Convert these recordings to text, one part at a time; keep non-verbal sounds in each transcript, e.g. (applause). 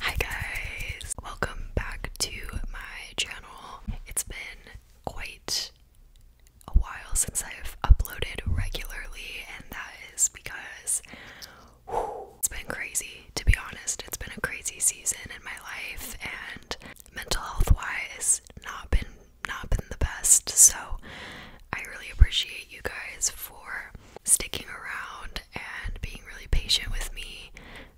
Hi guys! Welcome back to my channel. It's been quite a while since I've uploaded regularly, and that is because it's been crazy, to be honest. It's been a crazy season in my life, and mental health wise, not been not been the best. So I really appreciate you guys for sticking around and being really patient with me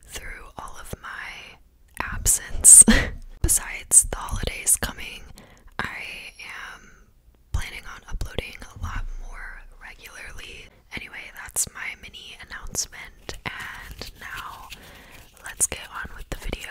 through all of my absence. (laughs) Besides the holidays coming, I am planning on uploading a lot more regularly. Anyway, that's my mini announcement, and now let's get on with the video.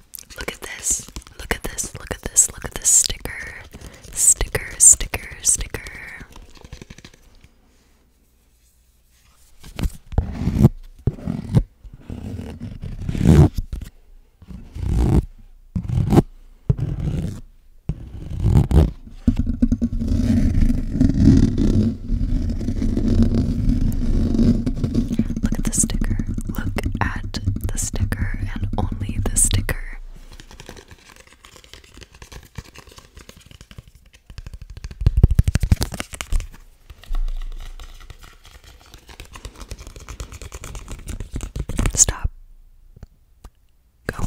Look at this. Look at this. Look at this. Look at this sticker. Sticker, sticker, sticker. Look at the sticker. Look at the sticker and only the sticker. Stop. Go.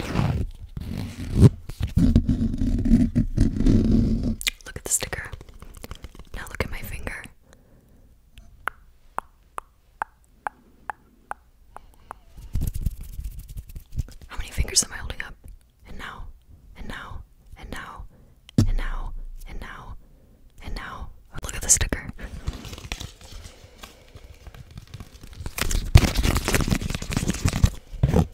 Look at the sticker. Now look at my finger. How many fingers am I holding up? And now, and now, and now, and now, and now, and now. Look at the sticker.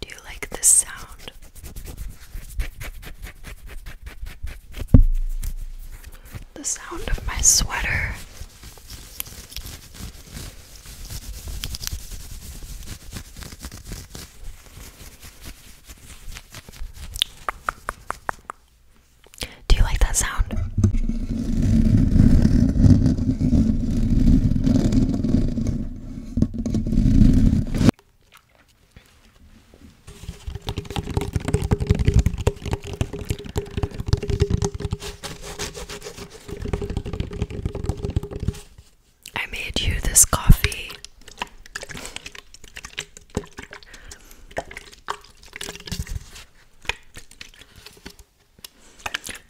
Do you like this sound? The sound of my sweater. Do you like that sound? I made you this coffee.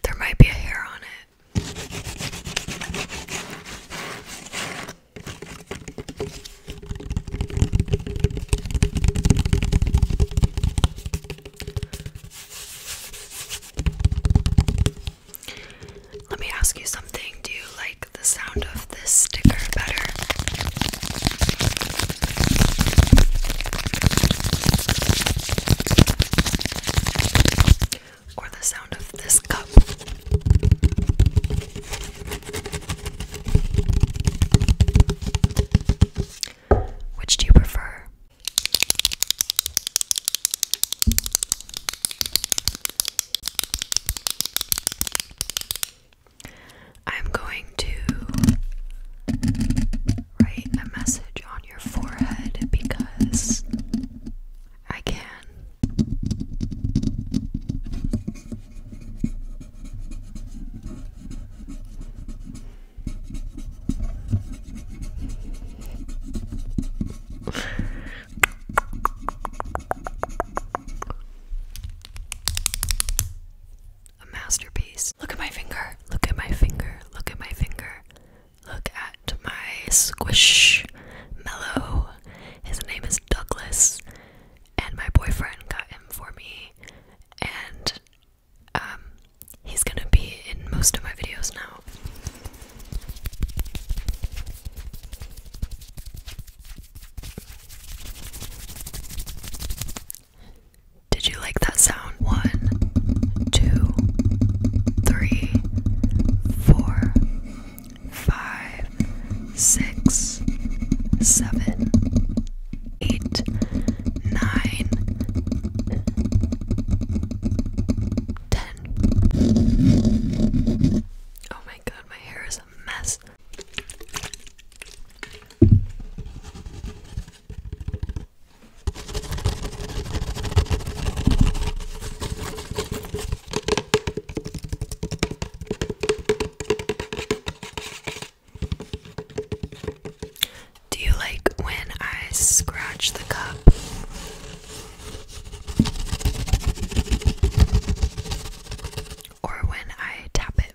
There might be a hair on it. Let me ask you something. Do you like the sound of this sticker better? or the sound of this cup. Which do you prefer? I'm going to write a message on your forehead because I can. A masterpiece. Look at my finger. Look at my finger. Look at my finger. Look at my squish mellow. His name is Douglas, and my boyfriend got him for me. And um, he's gonna be in most of my videos now. Did you like that sound? One, two, three, four, five, six, seven, eight, nine, ten. Oh my god, my hair is a mess. Do you like when I scratch the cup? Or when I tap it?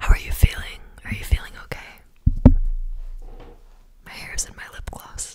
How are you feeling? Are you feeling okay? My hair's in my lip gloss.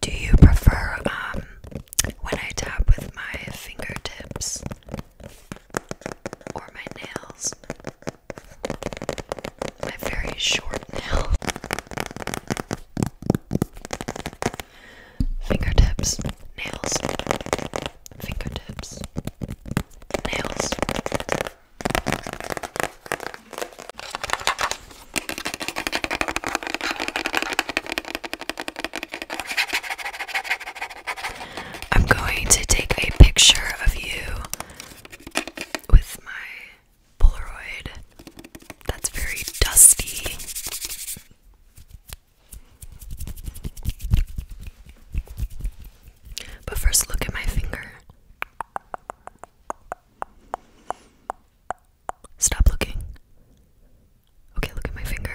Do you prefer um, when I tap with my fingertips or my nails? my very short nail fingertips, nails, fingertips, nails. I'm going to take a picture of you with my Polaroid. That's very dusty. But first, look at my finger. Stop looking. Okay, look at my finger.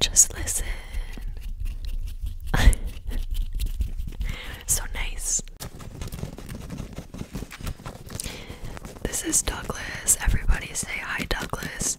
Just listen. (laughs) so nice. This is Douglas. Everybody say hi, Douglas.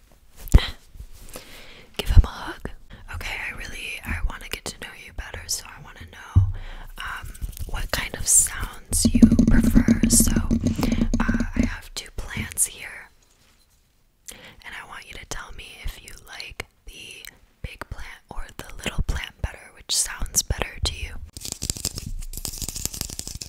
(sighs) Give him a hug. Okay, I really I want to get to know you better, so I want to know um, what kind of sounds you prefer. So uh, I have two plants here, and I want you to tell me if you like the big plant or the little plant better, which sounds better to you.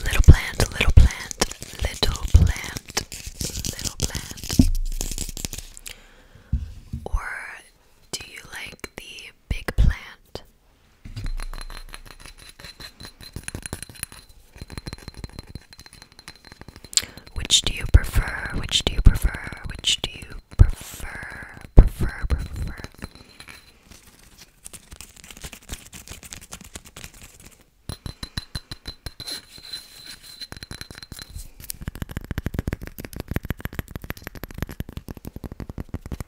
Little plant, little plant, little plant, little plant. Or do you like the big plant? Which do you prefer? Which do you prefer? Which do you prefer? Prefer, prefer.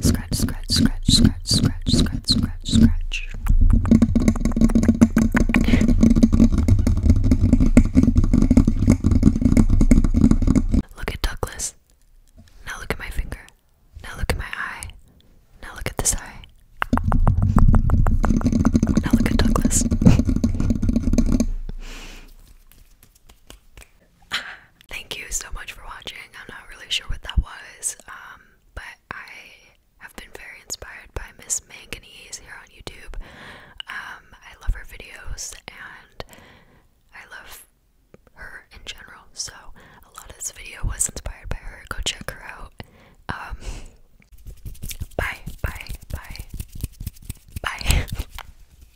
Scratch, scratch, scratch, scratch, scratch, scratch, scratch, scratch. Look at Douglas. Now look at my finger. Now look at my eye. Now look at this eye. Now look at Douglas. (laughs) (sighs) Thank you so much for watching. I'm not really sure what that was, um, but I have been very inspired by Miss Manganese here on YouTube. Um, I love her videos and I love her in general, so a lot of this video was inspired by her. Go check her out. Um, (laughs) bye, bye, bye, bye. (laughs)